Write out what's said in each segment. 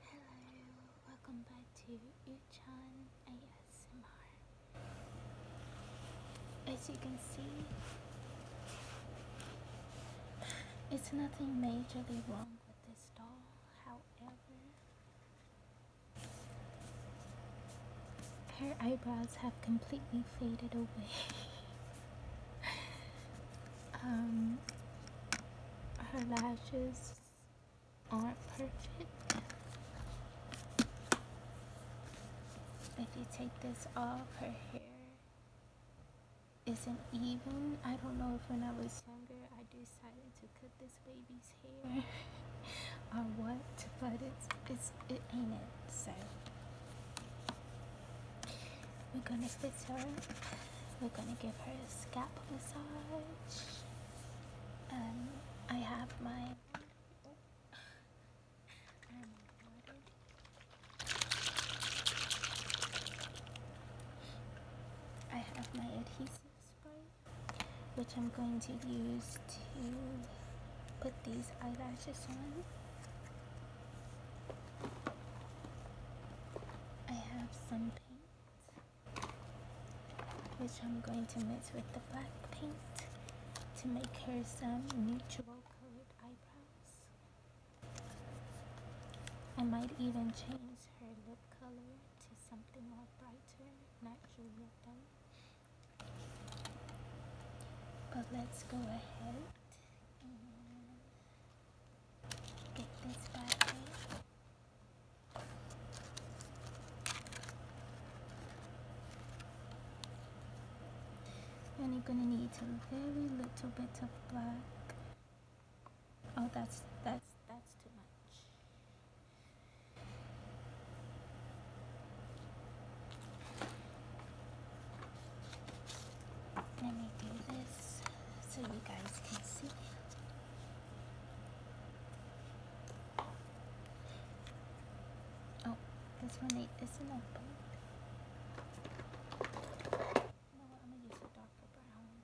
Hello, welcome back to Yuchan ASMR. As you can see, it's nothing majorly wrong with this doll, however, her eyebrows have completely faded away. um, her lashes aren't perfect. If you take this off, her hair isn't even. I don't know if when I was younger I decided to cut this baby's hair or what, but it's, it's it ain't it. So we're gonna fix her. We're gonna give her a scalp massage. Um, I have my. I have my adhesive spray, which I'm going to use to put these eyelashes on. I have some which I'm going to mix with the black paint to make her some neutral colored eyebrows. I might even change her lip color to something more brighter, not But let's go ahead and you're gonna need a very little bit of black. Oh, that's that's that's too much. Let me do this so you guys can see. Oh, this one isn't open. You know what, I'm gonna use a darker brown.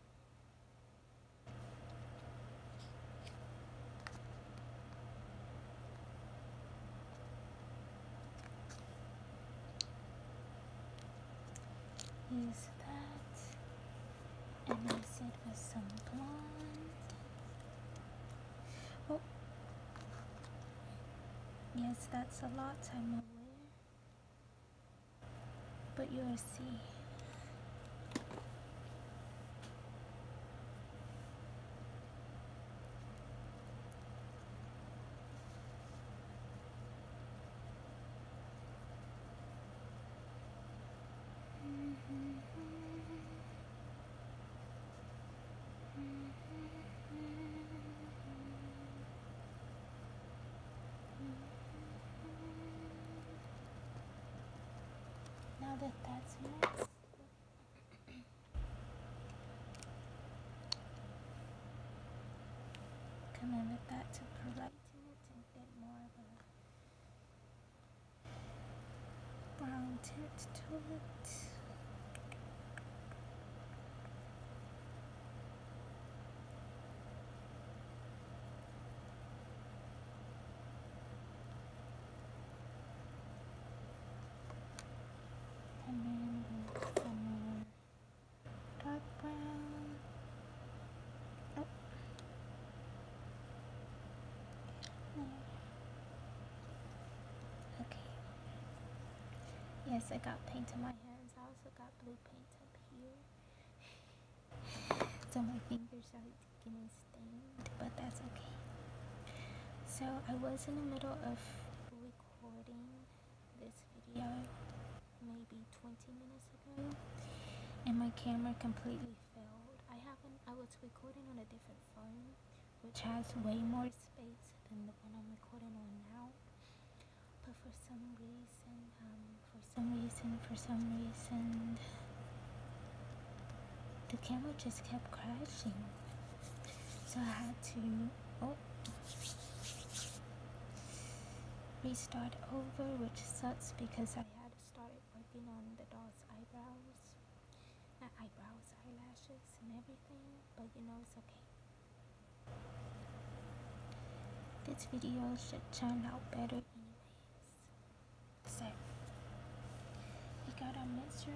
Is that. And I said with some blonde. Oh. Yes, that's a lot, I'm aware. But you'll see. Now that that's mixed, come and to polite bit more brown tint to it. And then we'll Dark brown. Okay. Yes, I got paint on my hands. I also got blue paint up here. so my fingers are getting stained, but that's okay. So I was in the middle of recording this video, maybe 20 minutes ago and my camera completely failed. I have I was recording on a different phone which has way more space than the one I'm recording on now. But for some reason, um, for some reason, for some reason the camera just kept crashing. So I had to oh restart over, which sucks because I had started working on the doll's eyebrows. eyebrows, eyelashes and everything, but you know it's okay. This video should turn out better anyways. So, we got our mixture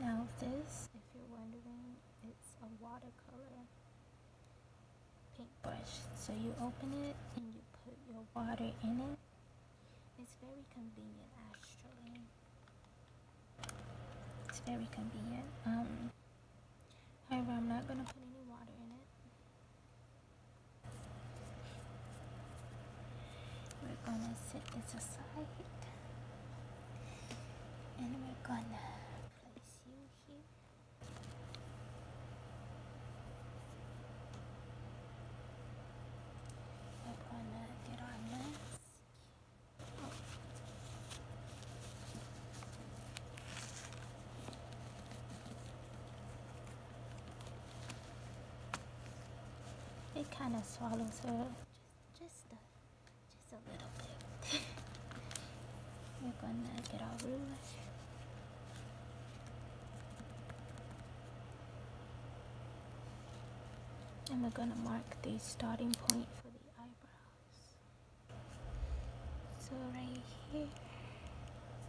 now this, if you're wondering, it's a watercolor paintbrush. So you open it and you put your water in it. It's very convenient actually. It's very convenient. Um, however, I'm not going to put any water in it. We're gonna set this aside and we're gonna place you here. We're gonna get our mask. Oh. It kind of swallows her just, a, little bit. We're gonna get our ruler. And we're gonna mark the starting point for the eyebrows. So right here,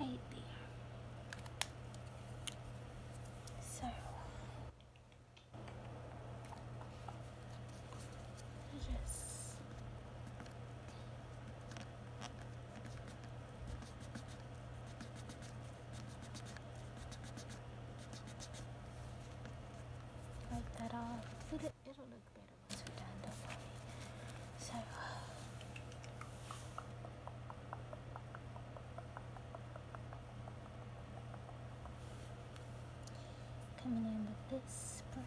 right there. So yes. Like that off. It'll look better once we're done, do So Coming in with this brush.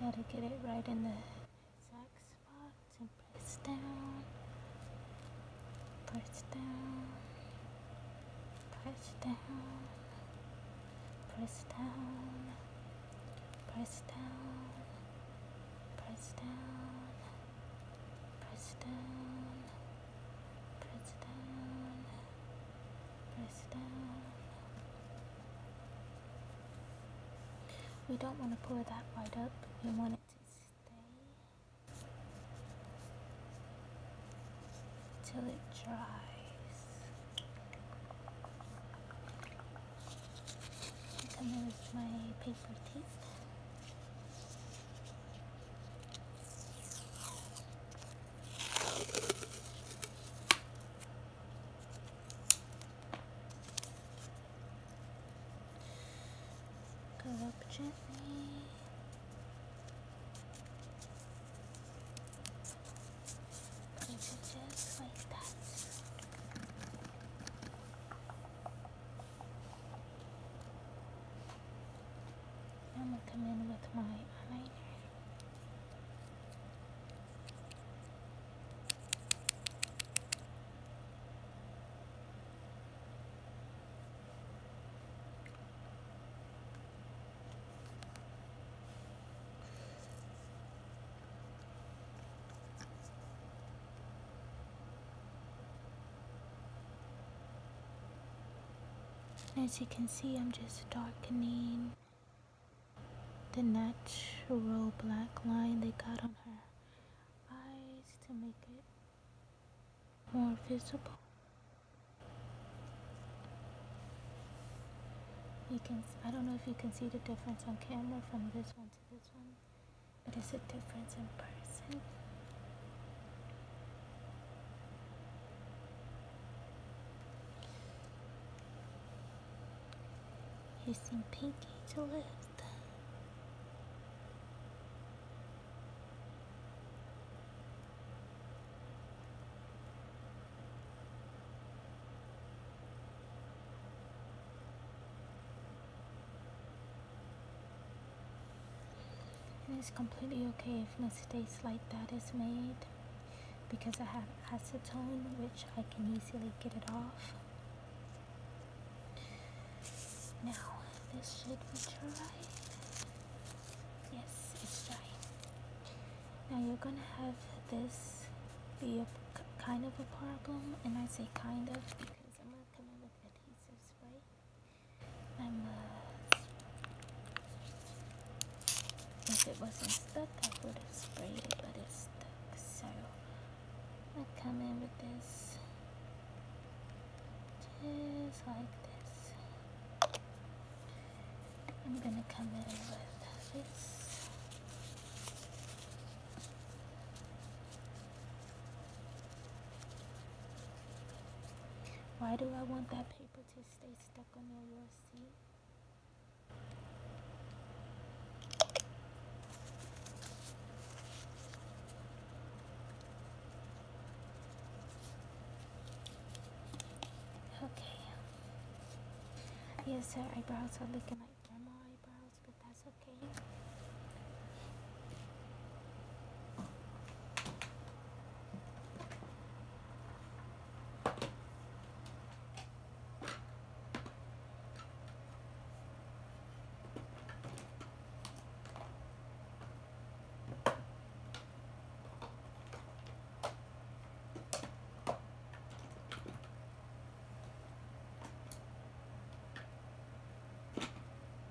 Gotta get it right in the exact spot and press down, press down, press down, press down, press down, press down. Press down, press down, press down. We don't want to pour that right up. We want it to stay until it dries. And my May 14th. Go up gently. Just like that. I'm gonna come in with my eyeliner. As you can see, I'm just darkening the natural black line they got on her eyes to make it more visible. You can, I don't know if you can see the difference on camera from this one to this one. It is a difference in person. You seem pinky to lift it's completely okay if mistakes like that is made because I have acetone which I can easily get it off. Now this should be dry. Yes, it's dry. Now you're gonna have this be a kind of a problem and I say kind of because I'm gonna come adhesive spray. My mask. If it wasn't stuck, I would have sprayed it, but it's stuck. So I come in with this, just like this. I'm gonna come in with this. Why do I want that paper to stay stuck on your seat? Okay. Yes, her eyebrows are looking like grandma eyebrows but that's okay.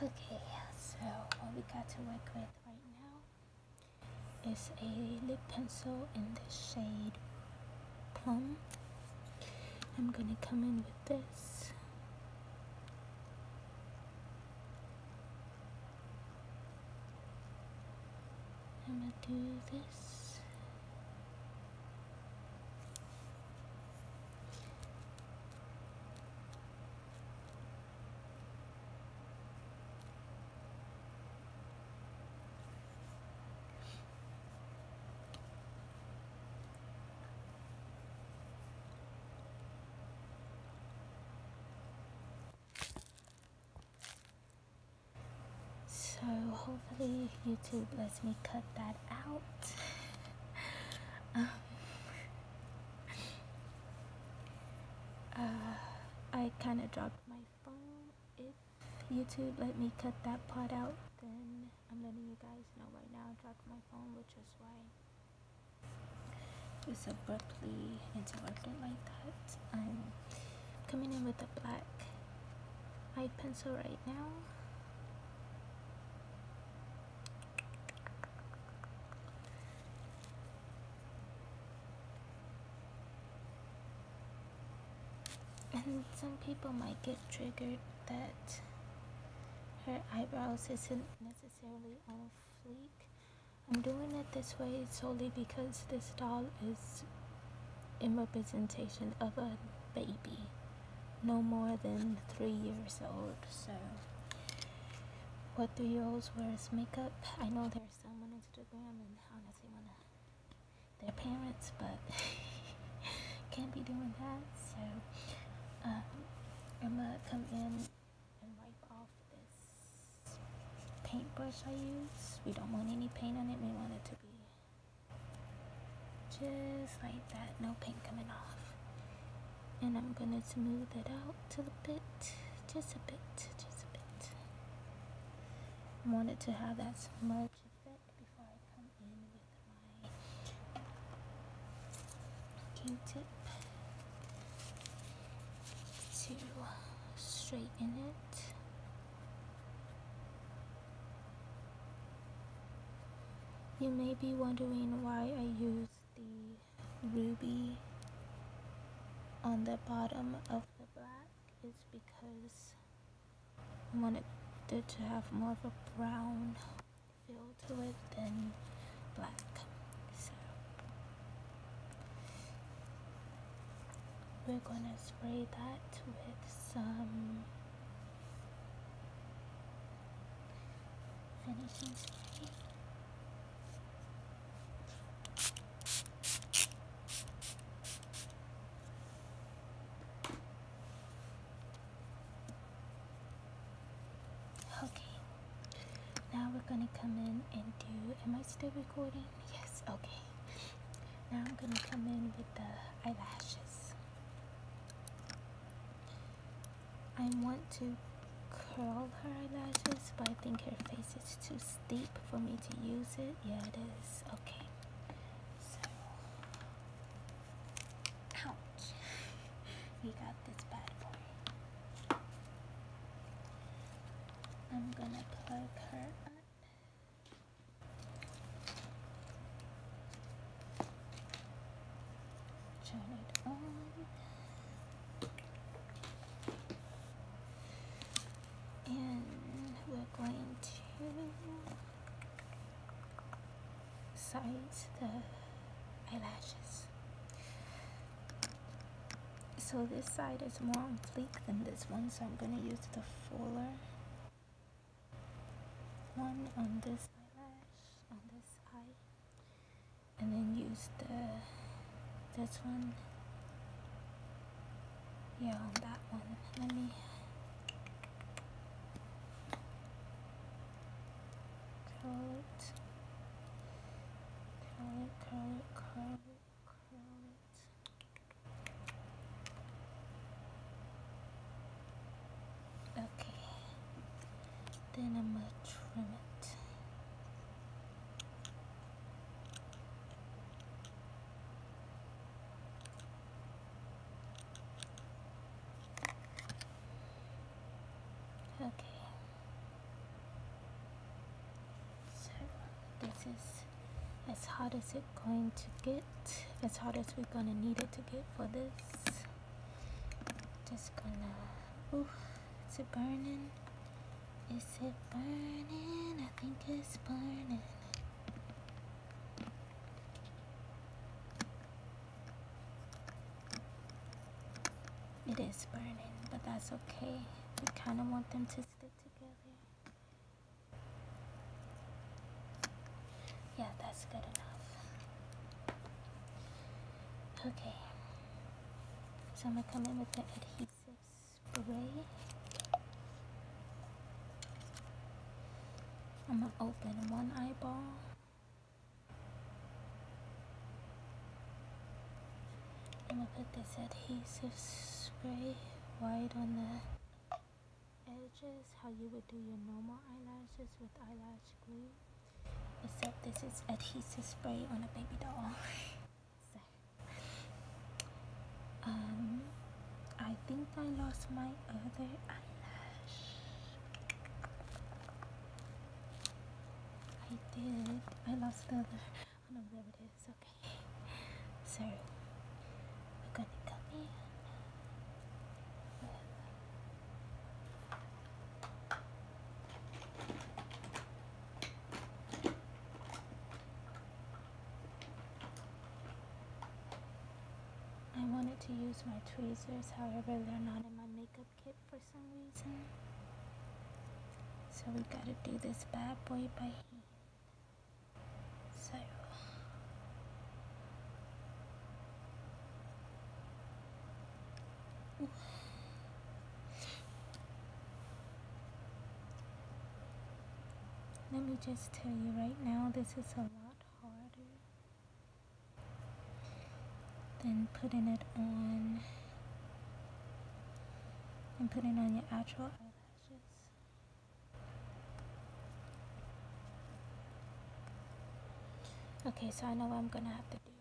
Okay, so what we got to work with right now is a lip pencil in the shade Plum. I'm gonna come in with this. I'm gonna do this. So hopefully YouTube lets me cut that out. Um, uh, I kind of dropped my phone. If YouTube let me cut that part out, then I'm letting you guys know right now I dropped my phone, which is why just abruptly interrupted like that. I'm coming in with a black eye pencil right now. And some people might get triggered that her eyebrows isn't necessary necessarily on fleek. I'm doing it this way solely because this doll is in representation of a baby, no more than three years old. So, what three year wear wears makeup? I know there's some on Instagram and I honestly, one of their parents, but can't be doing that. So, um, I'm gonna come in and wipe off this paintbrush I use. We don't want any paint on it. We want it to be just like that. No paint coming off. And I'm going to smooth it out to the bit. Just a bit. Just a bit. I want it to have that smudge effect before I come in with my Q-tip to straighten it. You may be wondering why I use the ruby on the bottom of the black. It's because I wanted it to have more of a brown feel to it than black. So we're gonna spray that with some finishing spray. Okay, now we're gonna come in and do. Am I still recording? Yes. Okay. Now I'm gonna come in with the eyelashes. I want to curl her eyelashes, but I think her face is too steep for me to use it. Yeah, it is. Okay. ouch. we got this bad boy. I'm gonna plug her up. Turn it on. And we're going to size the eyelashes. So this side is more on than this one, so I'm gonna use the fuller one on this eyelash, on this eye, and then use the this one. Yeah, on that one. Let me curl it, curl it, curl it, curl it. Curl it. Okay. Then I'm going to trim it. Okay. So this is as hot as it's going to get, as hot as we're gonna need it to get for this. Just gonna, ooh, is it burning? Is it burning? I think it's burning. It is burning, but that's okay. We kind of want them to yeah, that's good enough. Okay. So I'm going to come in with the adhesive spray. I'm going to open one eyeball. I'm gonna put this adhesive spray right on the edges, how you would do your normal eyelashes with eyelash glue. Except this is adhesive spray on a baby doll. um, I think I lost my other eyelash. I did. I lost the other. Oh, I okay. So we're gonna come in I wanted to use my tweezers, however they're not in my makeup kit for some reason. So we gotta do this bad boy by hand. So. Let me just tell you right now, this is a lot harder than putting it on and putting on your actual eyelashes. Okay, so I know what I'm gonna have to do.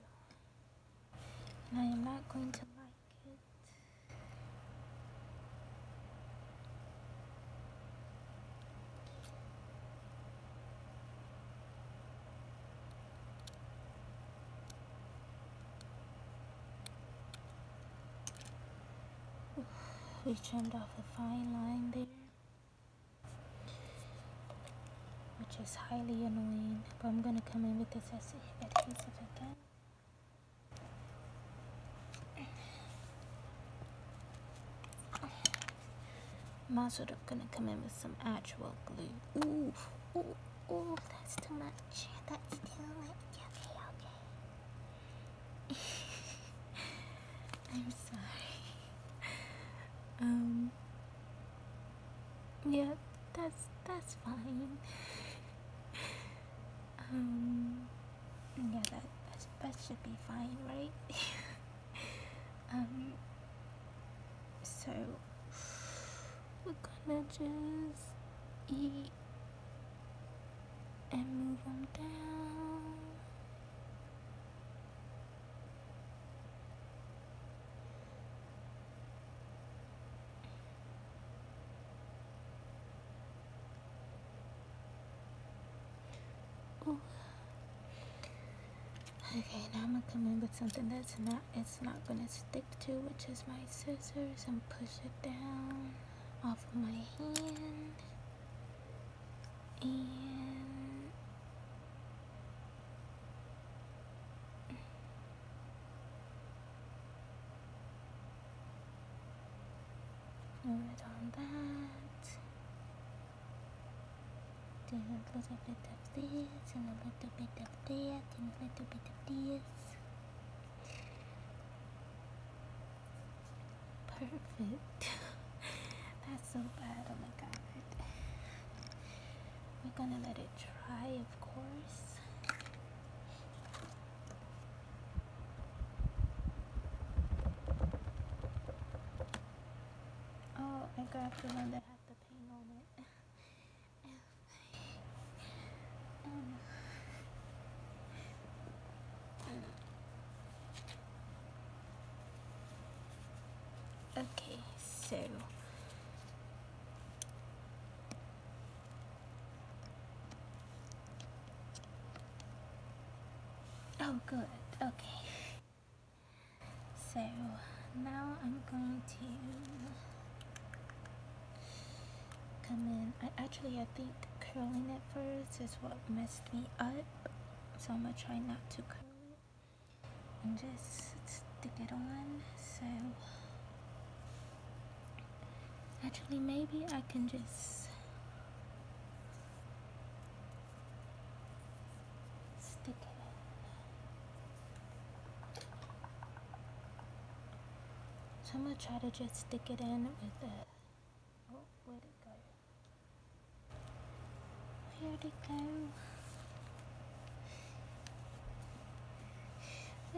And I am not going to like it. we trimmed off a fine line there which is highly annoying but I'm gonna come in with this adhesive again I'm also gonna come in with some actual glue. Ooh, ooh. Oh, that's too much. That's too much. Okay, okay. I'm sorry. Um. Yeah, that's that's fine. um. Yeah, that that, that should be fine, right? um. So we're gonna just eat and move them down. Okay, now I'm gonna come in with something that's not it's not going to stick to, which is my scissors, and push it down off my hand. And move it on that. Do a little bit of this, and a little bit of that, and a little bit of this. Perfect. That's so bad. Oh my god. We're gonna let it dry, of course. Oh, I grabbed the one that had the paint on it. Okay, so Oh good, okay. So now I'm going to come in. actually I think curling it first is what messed me up, so I'm gonna try not to curl it and just stick it on. So actually maybe I can just stick it. So I'm gonna try to just stick it in with oh, where'd it go? Where'd it go?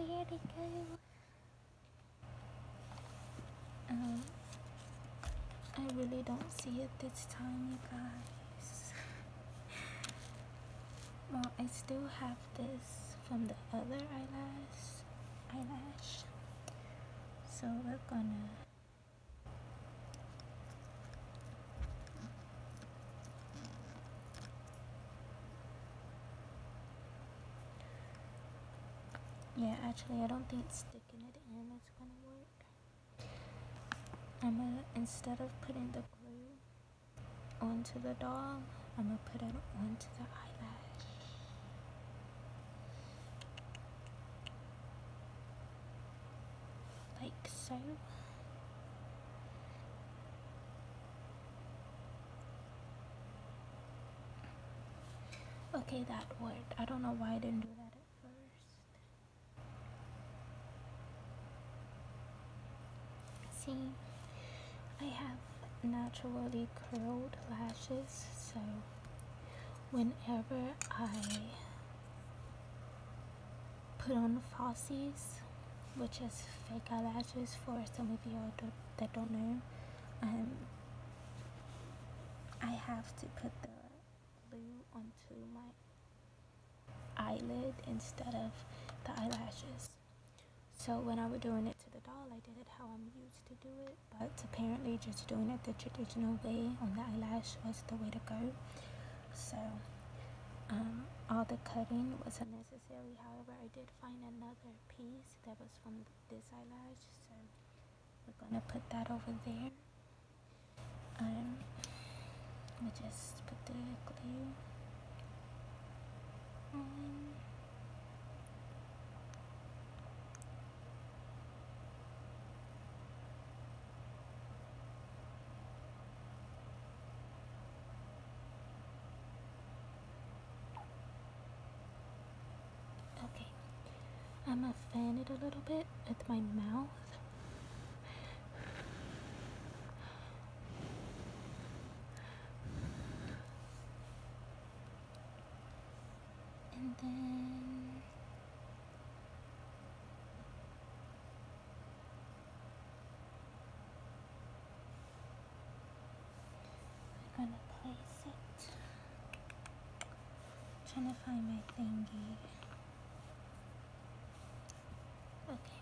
Where'd it go? Um, I really don't see it this time, you guys. well, I still have this from the other eyelash eyelash so we're gonna yeah actually I don't think sticking it in is gonna work I'm gonna instead of putting the glue onto the doll. I'm going to put it onto the eyelash. Like so. Okay, that worked. I don't know why I didn't do that at first. See, I have naturally curled lashes, so whenever I put on falsies, which is fake eyelashes for some of you that don't know, um, I have to put the glue onto my eyelid instead of the eyelashes. So when I was doing it to the doll, I did it how I'm used to do it, but apparently just doing it the traditional way on the eyelash was the way to go. So um, all the cutting was unnecessary. However, I did find another piece that was from this eyelash, so we're gonna put that over there. Um, let me just put the glue on. Okay, I'm gonna fan it a little bit with my mouth. And then we're gonna place it. trying to find my thingy. Okay.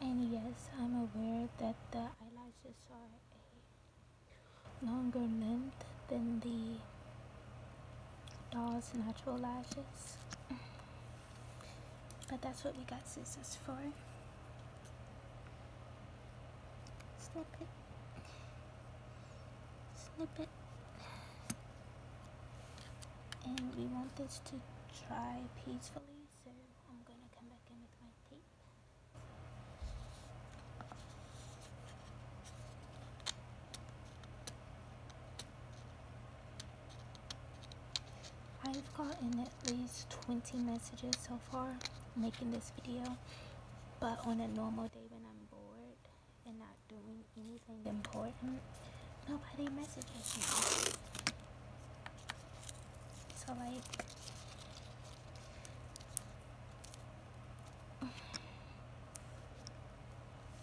And yes, I'm aware that the eyelashes are a longer length than the doll's natural lashes. But that's what we got scissors for. Snip it. Snip it and we want this to dry peacefully so I'm going to come back in with my tape I've gotten at least 20 messages so far making this video but on a normal day when I'm bored and not doing anything important nobody messages me so like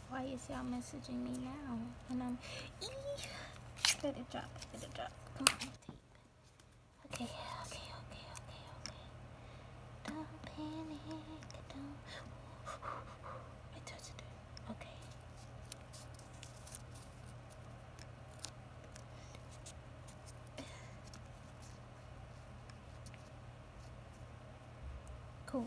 why is y'all messaging me now? And I'm ee, let it drop, let it drop. Come on, tape. Okay, okay, okay, okay, okay. Don't panic, don't. I touched it. Okay. Cool.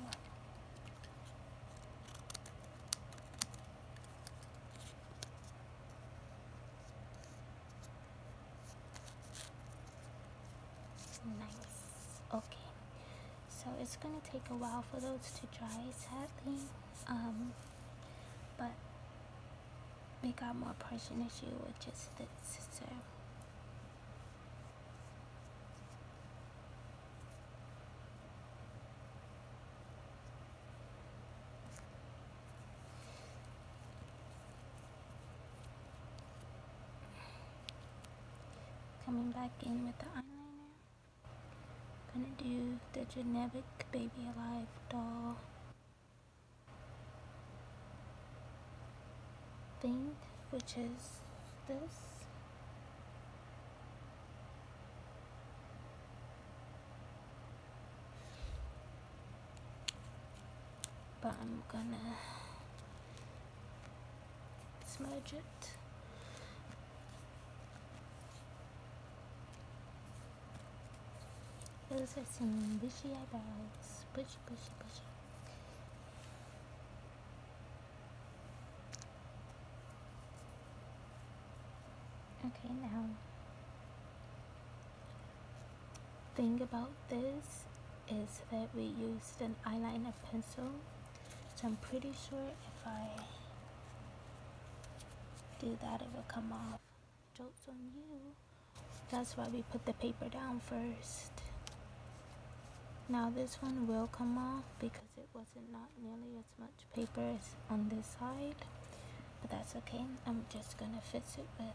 Nice. Okay. So it's gonna take a while for those to dry sadly. Um, but we got more pressing issue with just the sister. coming back in with the eyeliner. I'm gonna do the generic baby alive doll thing, which is this. But I'm gonna smudge it those are some bushy eyebrows. Bushy, bushy, bushy. Okay, now, thing about this is that we used an eyeliner pencil, so I'm pretty sure if I do that, it will come off. Jokes on you. That's why we put the paper down first. Now this one will come off because it wasn't not nearly as much paper as on this side. But that's okay. I'm just going to fix it with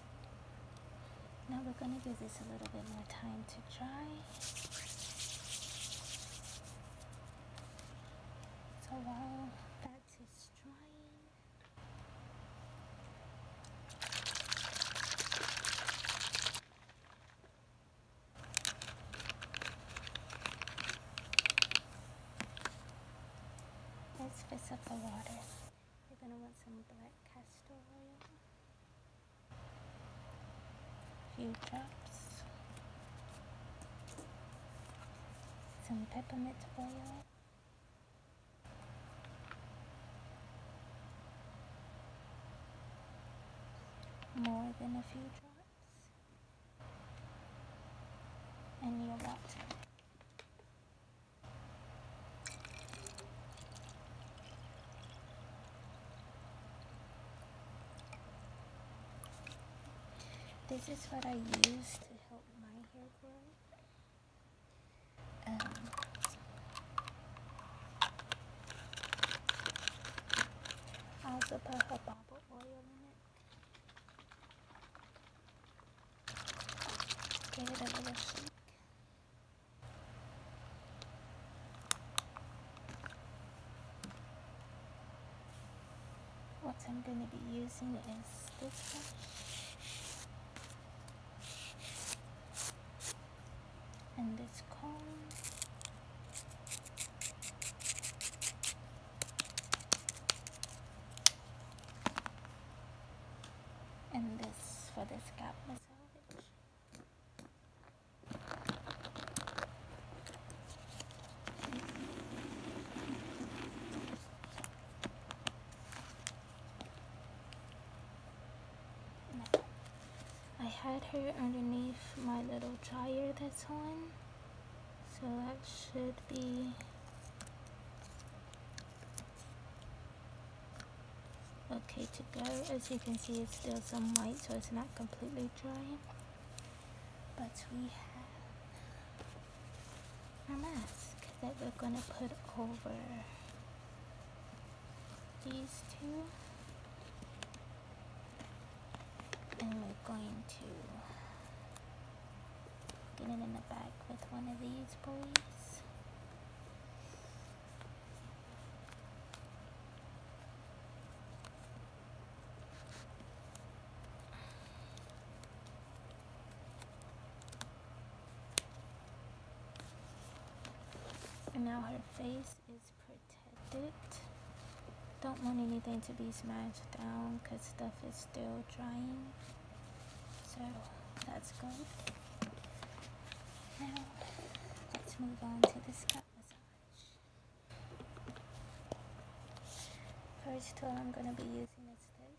Now we're going to give this a little bit more time to dry. So while that is drying, let's fix up the water. You're gonna want some black castor oil, a few drops, some peppermint oil, more than a few drops, and your water. This is what I use to help my hair grow. Um, I also put jojoba oil in it. Give it a little shake. What I'm going to be using is this one and this comb. and this for the scalp massage. I had her underneath my little dryer that's on, so that should be okay to go as you can see it's still some white so it's not completely dry. but we have our mask that we're gonna put over these two and we're going to get it in the back with one of these boys and now her face is protected. Don't want anything to be smashed down because stuff is still drying. So that's good. Now, let's move on to the scalp massage. First tool I'm going to be using is this.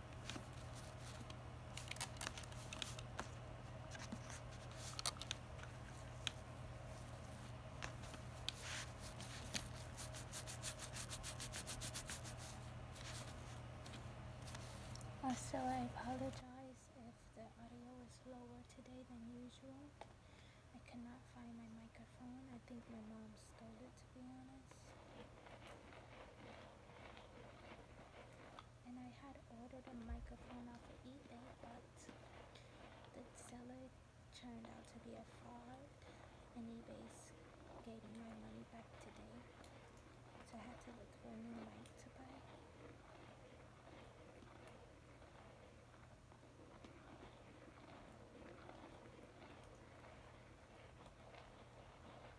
Also, I apologize if the audio is lower today than usual. I cannot find my microphone. I think my mom stole it, to be honest. And I had ordered a microphone off of eBay, but the seller turned out to be a fraud, and eBay's gave me my money back today. So I had to look for a new mic to buy.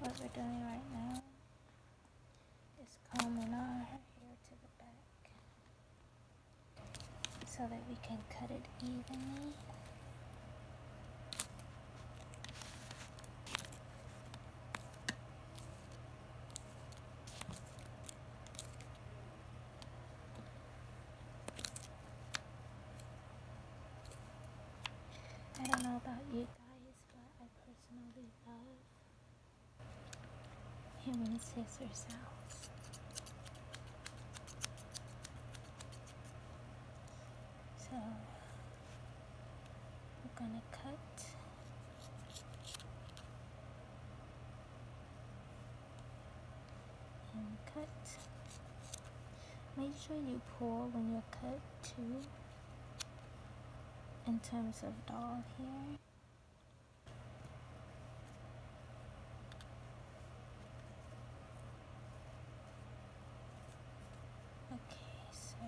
What we're doing right now is combing our hair to the back so that we can cut it evenly. I don't know about you guys, but I personally love human scissor sounds. So we're gonna cut and cut. Make sure you pull when you cut too in terms of doll here. Okay, so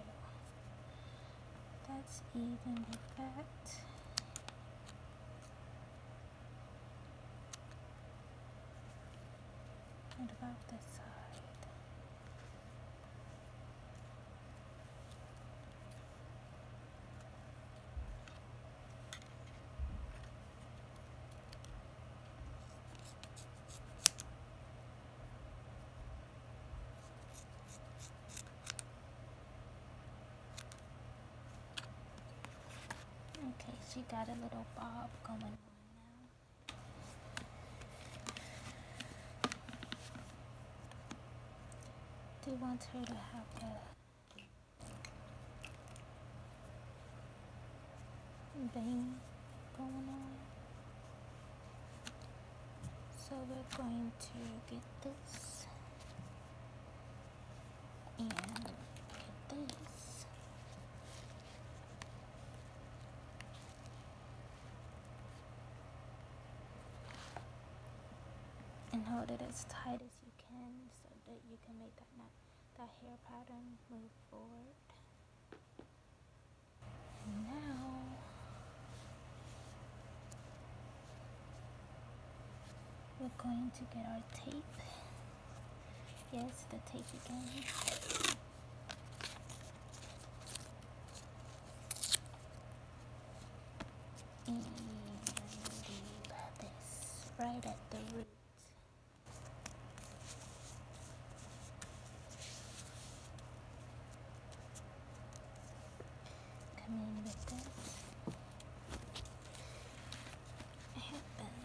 that's even with that. And about this side. Okay, she got a little bob going they want her to have a bang going on. So we're going to get this and look at this. And hold it as tight as you can so that you can make that, that hair pattern move forward. now, we're going to get our tape Yes, the tape again. And this right at the root. Come in with this. I have been.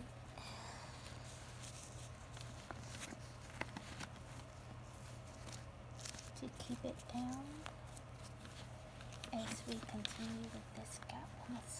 To keep it down as we continue with this scalp massage.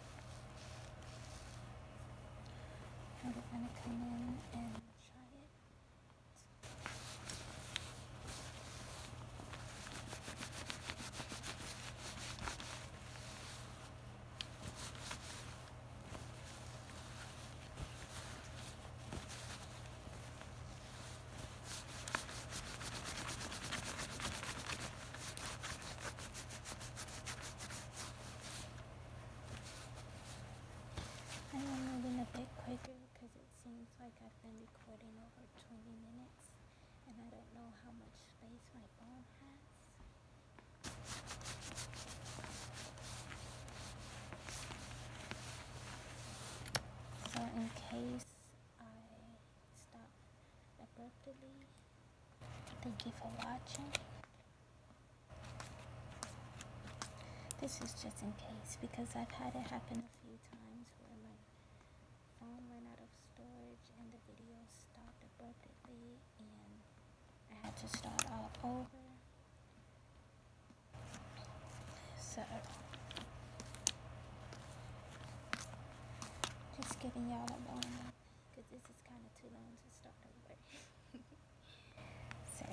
Are am gonna come in and try it. I am moving a bit quicker because it seems like I've been recording over 20 minutes and I don't know how much space my phone has. So in case I stop abruptly, Thank you for watching. This is just in case because I've had it happen a few times where my phone ran out of storage and the video stopped abruptly and I had to start all over. So just giving y'all a warning because this is kind of too long to start over. so,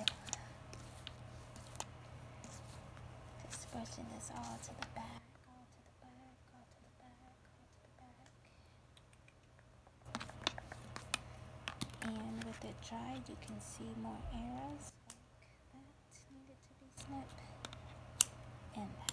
just brushing this all to the back, all to the back, all to the back, all to the back. And with it dried, you can see more arrows like that needed to be snipped and that.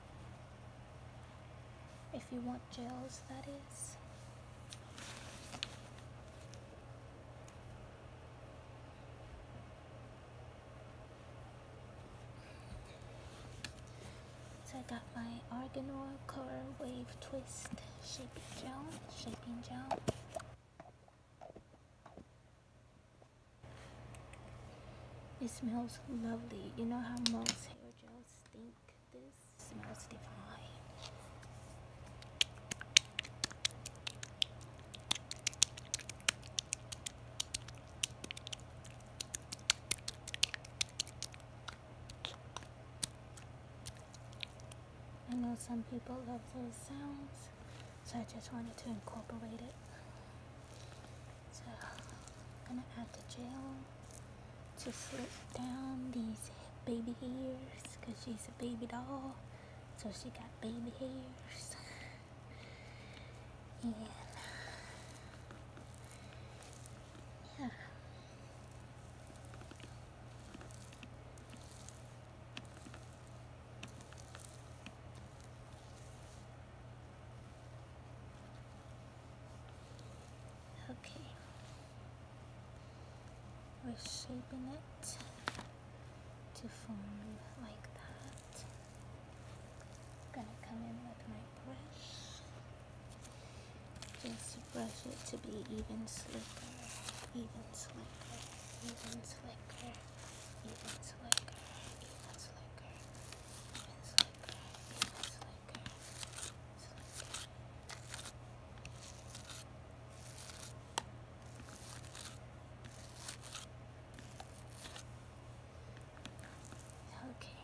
If you want gels, that is. So I got my Arganor Color Wave Twist Shaping Gel. Shaping gel. It smells lovely. You know how most hair gels I know some people love those sounds so I just wanted to incorporate it so I'm gonna add the gel to slip down these baby hairs because she's a baby doll. So she got baby hairs. And yeah. Okay. We're shaping it to form like that. Gonna come in with my brush. Just brush it to be even slicker, even slicker, even slicker, even slicker, even slicker, even slicker, even slicker like, it's Okay.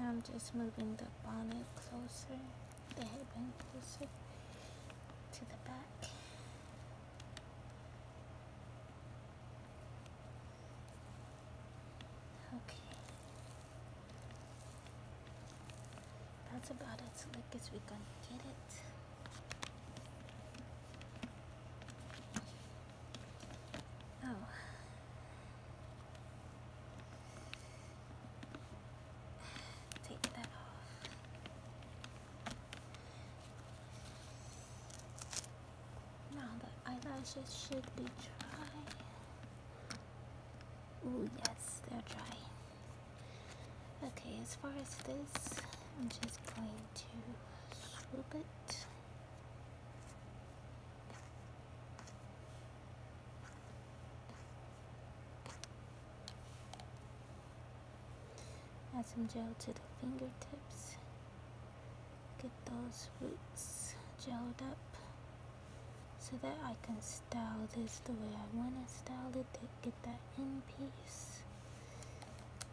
I'm just moving the bonnet closer, the headband closer to the back. Okay. That's about as slick as we can get it. Oh. Take that off. Now the eyelashes should be dry. Ooh, yes, they're dry. Okay, as far as this, I'm just going to swoop it. Add some gel to the fingertips. Get those roots gelled up so that I can style this the way I want to style it get that end piece.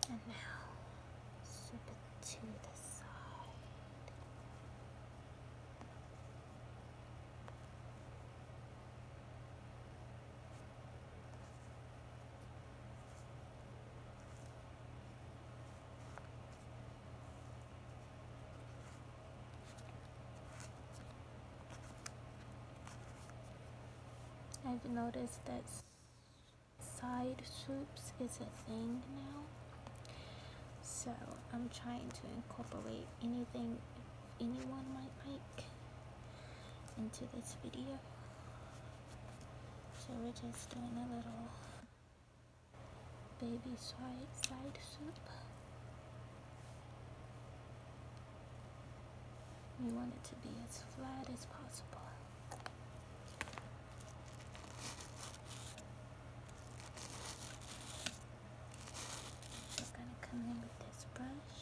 And now, to the side. I've noticed that side swoops is a thing now. So I'm trying to incorporate anything anyone might like into this video. So we're just doing a little baby side, side soup. We want it to be as flat as possible. Just gonna come in with this brush.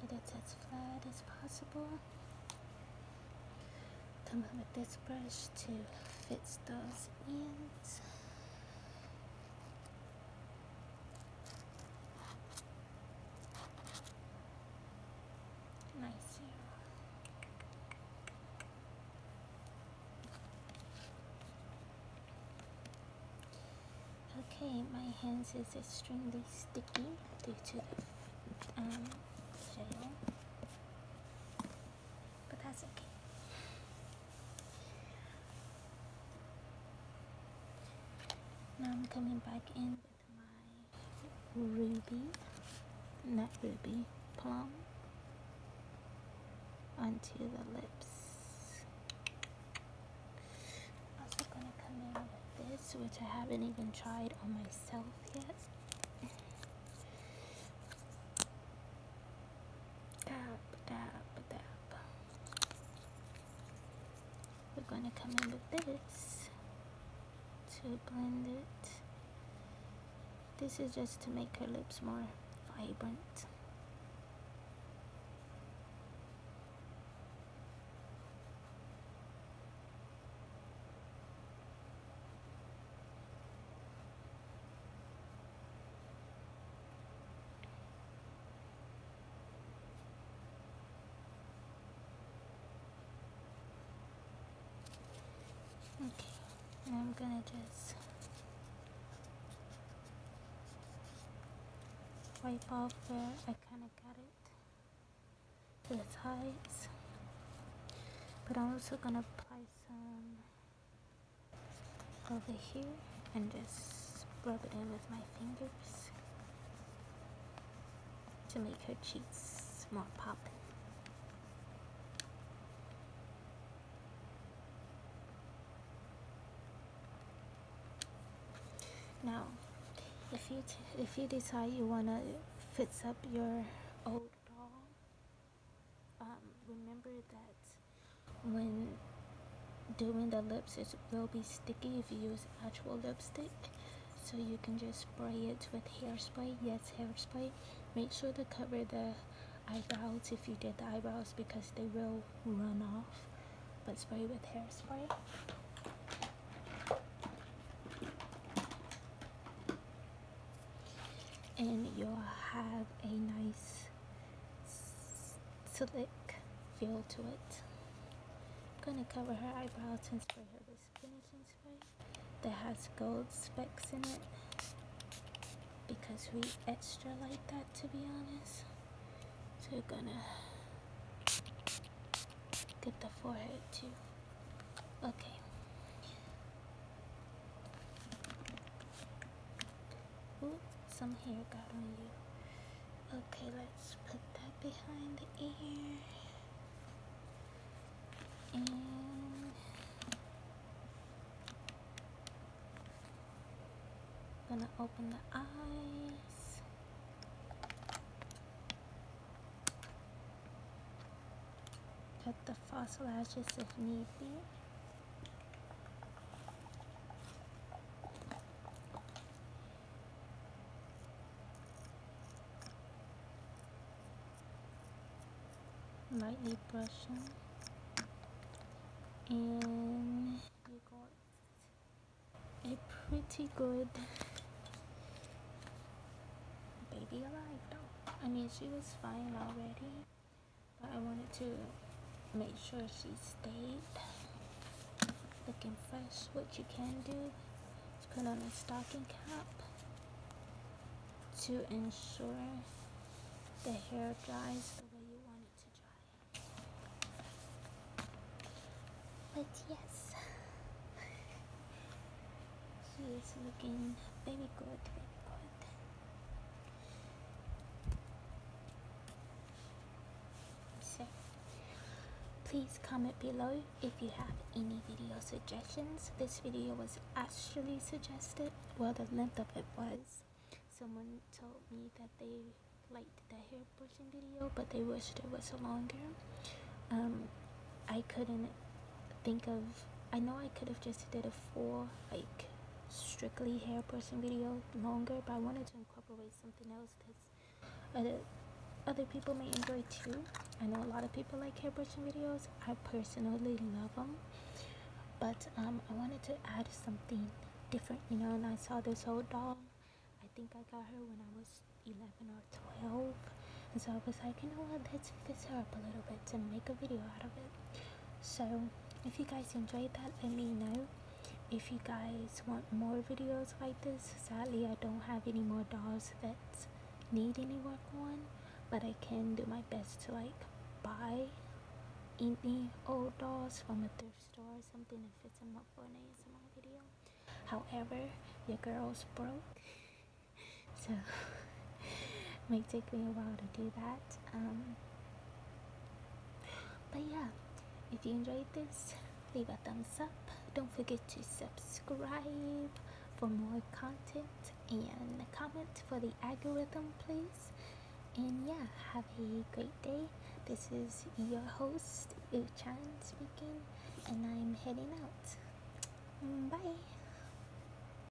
Get it as flat as possible come up with this brush to fit those ends. Nice. Okay, my hands is extremely sticky due to the um, shale but that's okay. Now I'm coming back in with my ruby, not ruby, plum onto the lips. Also gonna come in with this, which I haven't even tried on myself yet. We're going to come in with this to blend it. This is just to make her lips more vibrant. Okay, I'm gonna just wipe off where I kind of got it to the sides, but I'm also gonna apply some over here and just rub it in with my fingers to make her cheeks more poppin'. Now, if you if you decide you wanna fix up your old doll um, remember that when doing the lips it will be sticky if you use actual lipstick so you can just spray it with hairspray yes hairspray make sure to cover the eyebrows if you did the eyebrows because they will run off but spray with hairspray and you'll have a nice slick feel to it. I'm gonna cover her eyebrows and spray her with finishing spray that has gold specks in it because we extra like that to be honest. So we are gonna get the forehead too. Okay. Ooh, some hair got on you. Okay, let's put that behind the ear. And gonna open the eyes. Cut the fossil ashes if need be. Lightly brushing. And you got a pretty good baby alive though. I mean, she was fine already. But I wanted to make sure she stayed looking fresh. What you can do is put on a stocking cap to ensure the hair dries the way you want it to dry. But yes, he is looking very good, very good. please comment below if you have any video suggestions. This video was actually suggested, well, the length of it was. Someone told me that they liked the hair brushing video, but they wished it was longer. Um, I couldn't think of I know I could have just did a full like strictly hair person video longer but I wanted to incorporate something else because other, other people may enjoy too I know a lot of people like hair brushing videos I personally love them but um, I wanted to add something different you know and I saw this old doll I think I got her when I was 11 or 12 and so I was like you know what let's fix her up a little bit to make a video out of it so if you guys enjoyed that let me know if you guys want more videos like this sadly i don't have any more dolls that need any work on but i can do my best to like buy any old dolls from a thrift store or something and fit them up for an asmr video however the girl's broke so it might take me a while to do that. Um, but yeah, if you enjoyed this, leave a thumbs up. Don't forget to subscribe for more content and comment for the algorithm, please. And yeah, have a great day. This is your host, Uchan speaking, and I'm heading out. Mm, bye.